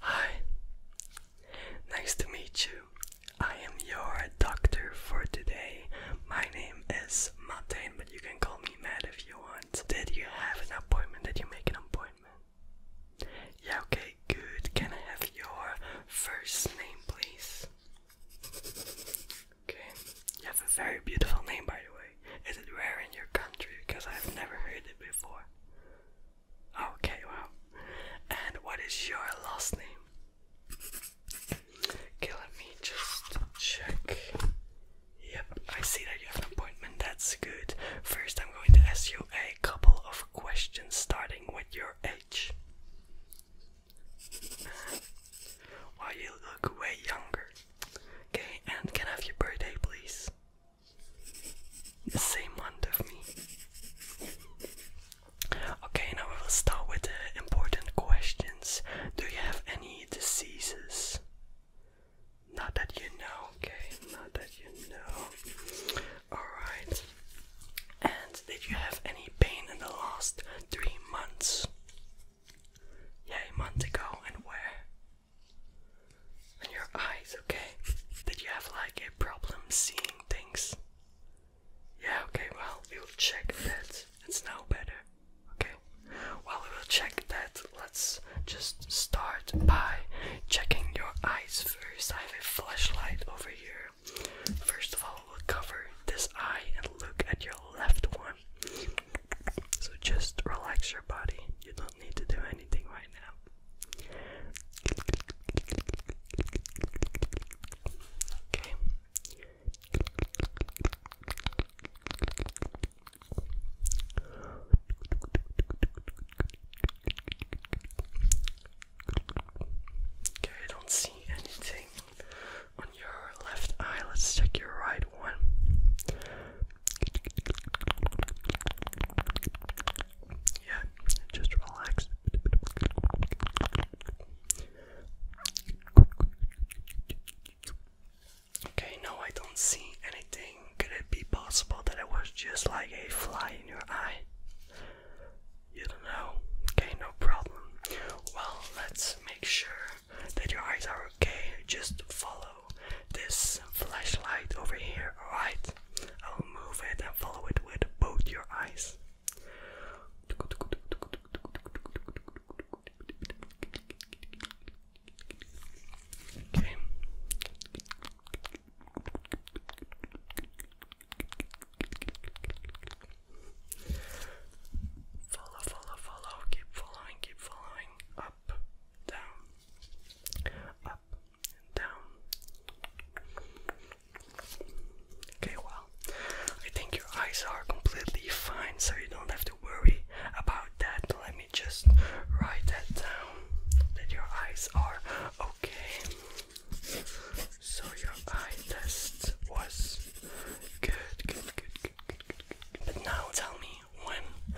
Hi, nice to meet you. I am your doctor for today. My name is Martin, but you can call me Matt if you want. Did you have an appointment? Did you make an appointment? Yeah, okay, good. Can I have your first name, please? Okay, you have a very beautiful name, by the way. Is it rare in your country? Because I've never heard it before. Okay, wow. And what is your last name? Okay, me just check. Yep, I see that you have an appointment. That's good. First, I'm going to ask you a couple of questions, starting with your age. While you look way younger. Okay, and can I have your birthday, please? the same month of me. Okay, now we will start with the important questions. Do you have any diseases? Not that you know, okay, not that you know. Alright. And did you have any pain in the last three months? Yeah, a month ago, and where? And your eyes, okay? Did you have like a problem seeing things? Yeah, okay, well, we will check that. It's now better. Okay. Well, we will check that, let's just start by checking your eyes first. I have a flashlight over here. First of all, we'll cover this eye and look at your left one. So just relax your body. You don't need to do anything right now. Okay. Okay, I don't see anything on your left eye. Let's check your right one. Yeah, just relax. Okay, now I don't see anything. Could it be possible that it was just like a fly in your eye? You don't know. Okay, no problem. Well, let's make sure that your eyes are okay. Just follow this flashlight over here, alright? I'll move it and follow it with both your eyes. Okay. Follow, follow, follow, keep following, keep following. Up, down, up, down. Okay, well, I think your eyes are completely fine, so you don't have to worry about that. Let me just write that down that your eyes are okay. So, your eye test was good, good, good, good, good, good, good. But now tell me when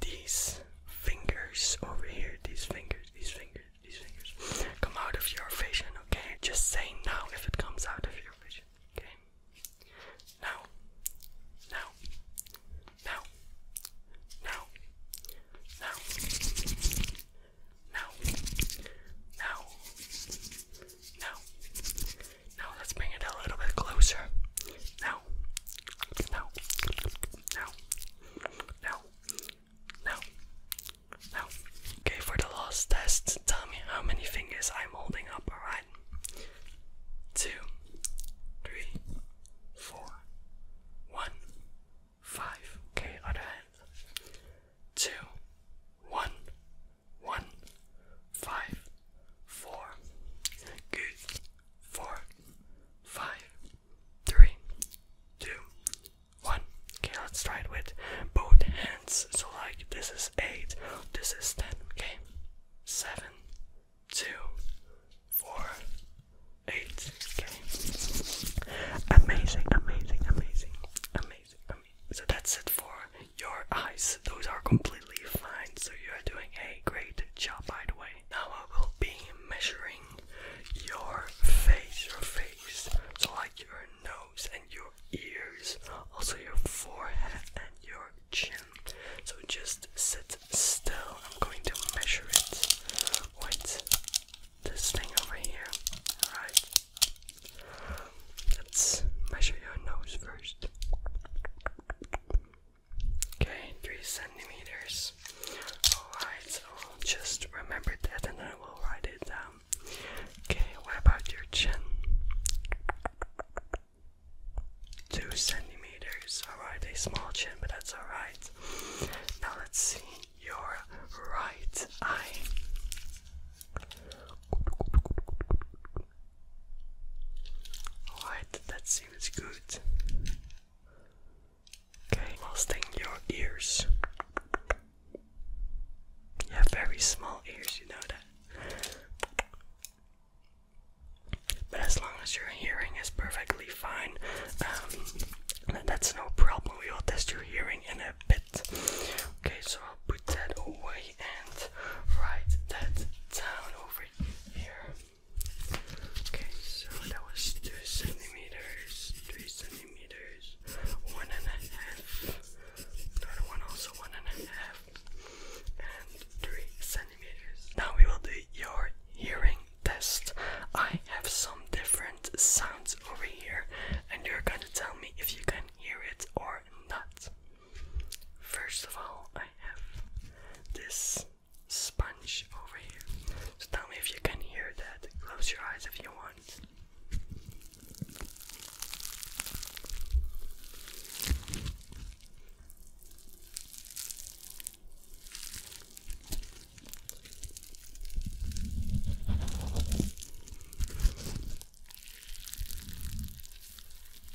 these fingers over here, these fingers, these fingers, these fingers come out of your vision, okay? Just say now if it comes out of your vision, okay? Now, now, now, now, now, now, now, now, now let's bring it a little bit closer. Now, now, now, now, now, now. Okay, for the last test, tell me how many fingers I'm holding up, alright? Two, three, four, one, five. Okay, other hand. Two, one, one, five four, good, four, five, three, two, one. Okay, let's try it with both hands. So, like, this is eight, this is ten, okay? Seven, two, four, eight, okay? Amazing, amazing, amazing, amazing, amazing. So, that's it for your eyes. Those are completely fine, so you are doing a great job by the way. Now I will be measuring your face, your face, so like your nose and your ears, also your forehead and your chin. So just sit still. I'm going to measure it Wait, this thing over here. Alright. Let's measure your nose first. Okay, three centimeters. Alright, so I'll just remember that and then we will write it down. Okay, what about your chin? Two centimeters. Alright, a small chin, but that's alright. Now let's see your right eye. Alright, that seems good. Okay, testing your ears. You have very small ears, you know that. But as long as your hearing is perfectly fine, um, that's no problem. We will test your hearing in a bit. Okay, so put that away and write that down over here. Okay, so that was two centimeters, three centimeters, one and a half. Another one also one and a half, and three centimeters. Now we will do your hearing test. I have some different sounds over here, and you're gonna tell me if you can hear it or not. First of all, I have this sponge over here. So tell me if you can hear that. Close your eyes if you want.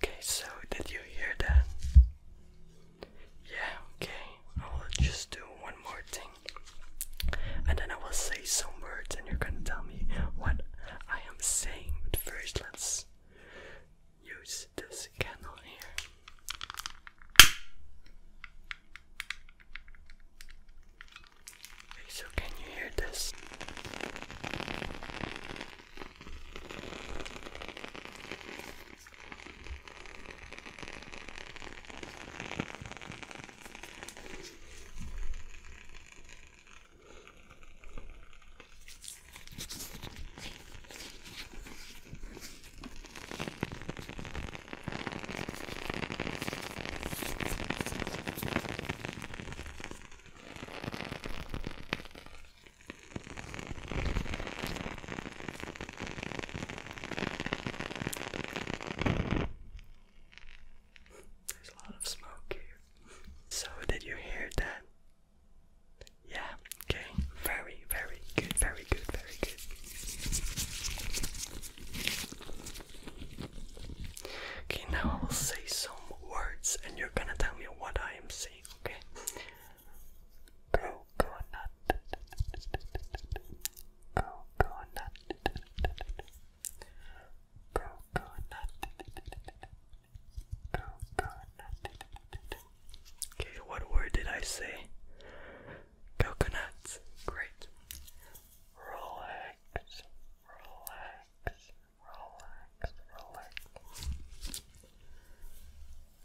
Okay, so did you hear that? Yeah, okay. I will just do one more thing. And then I will say some words and you're gonna tell me what I am saying. But first let's use this candle here. Okay, so can you hear this? There's a lot of smoke here. So, did you hear that? Yeah, okay. Very, very good, very good, very good. Okay, now I will say some words and you're gonna tell me what I am saying, okay? Coconut. Coconut. Coconut. Coconut. Okay, what word did I say? coconuts. Great. Relax, relax, relax, relax.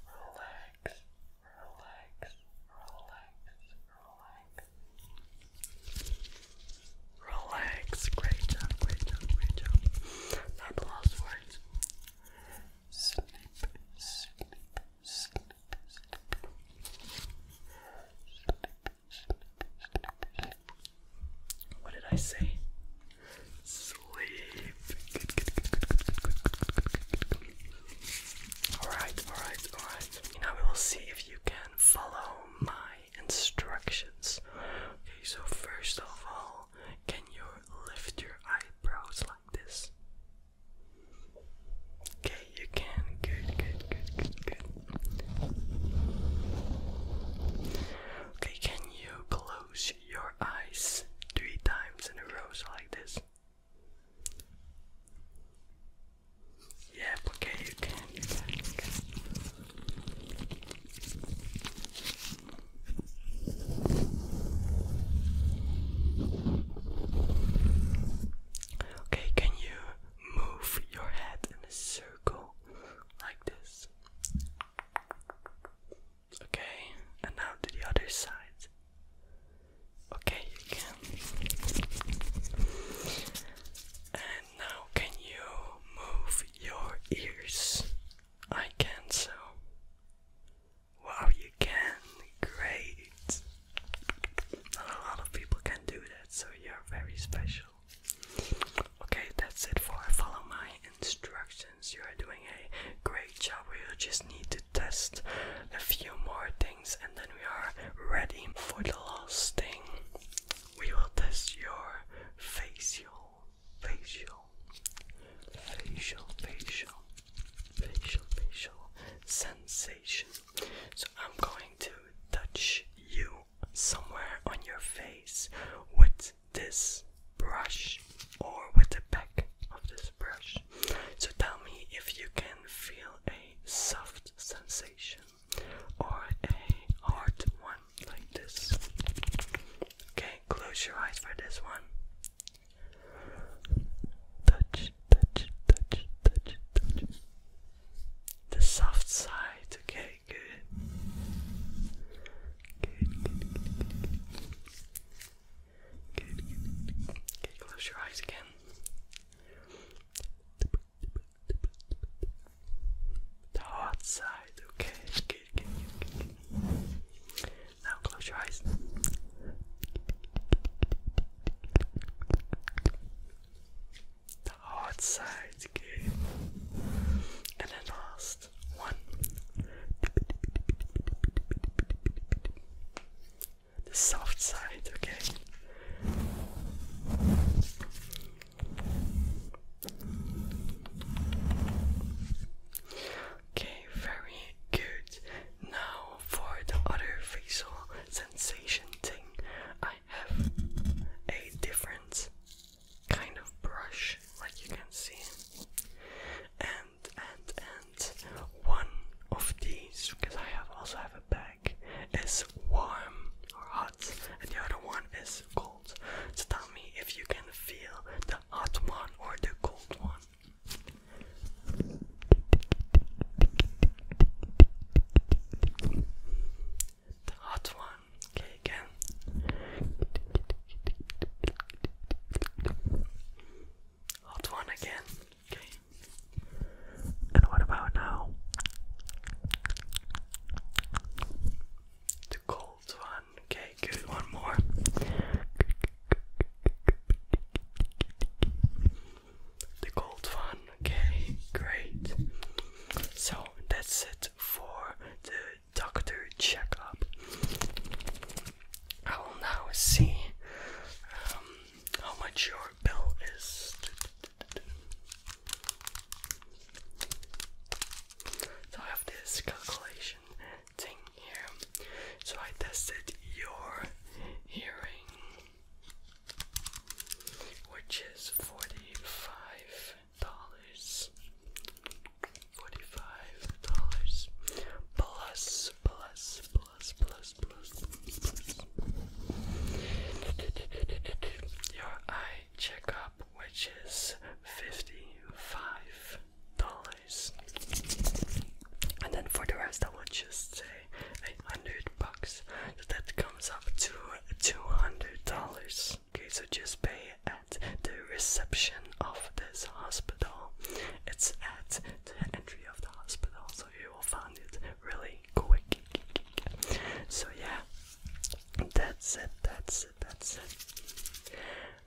Relax, relax, relax, Great job, great job, great job. Not the words. Sleep, sleep, sleep, What did I say? Sleep. Alright, alright, alright. Now we will see if you can follow my instructions. Okay, so first of all, can you lift your eyebrows like this? Okay, you can. Good, good, good, good, good. Okay, can you close your eyes three times in a row like this? Yep, okay, you can, you can, you can. Okay, can you move your head in a circle like this? Okay, and now to the other side. Okay, you can. And now, can you move your ears? I can so. Wow, you can. Great. Not a lot of people can do that, so you're very special. Okay, that's it for follow my instructions. You are doing a great job. we just need to test a few more things and then we are ready for the last thing. We will test your facial, facial, facial, facial facial facial sensation. So I'm going to touch you somewhere on your face with this brush or with the back of this brush. So tell me if you can feel a soft sensation or a hard one like this. Okay, close your eyes for this one. Touch, touch, touch, touch, touch. The soft side, okay, good. Good, good, good, good, Okay, close your eyes again. The hot side, okay, good, good, good, good. Now close your eyes. The hard side's good. And then last one. The soft side, okay. Okay, very good. Now for the other facial sensation thing, I have a different kind of brush, like you can see, and and and one of these, because I also have a bag, is warm or hot, and the other one is cold. So tell me if you can feel the hot one or the cold one. The hot one, okay, again. Hot one again, okay. And what about now? The cold one one. Okay, good. One more. The gold one. Okay, great. So that's it for the doctor checkup. I will now see um, how much your bill is. So I have this calculation here. So I tested your hearing, which is forty-five dollars. Forty-five dollars plus plus plus plus plus plus. Your eye checkup, which is fifty-five dollars. And then for the rest, I would just say eight hundred bucks. So that comes up to two hundred dollars. Okay, so just pay at the reception of this hospital. It's at the entry of the hospital, so you will find it really quick. So yeah, that's it. That's it. That's it.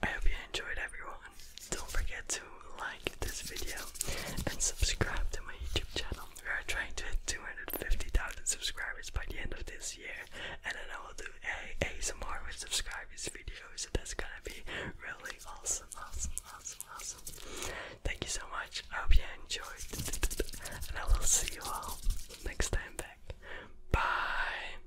I hope you enjoyed everyone. Don't forget to like this video and subscribe to my YouTube channel. We are trying to hit 250,000 subscribers by the end of this year, and then I will do a ASMR with subscribers video, so that's gonna be really awesome, awesome, awesome, awesome. Thank you so much. I hope you enjoyed, and I will see you all next time back. Bye.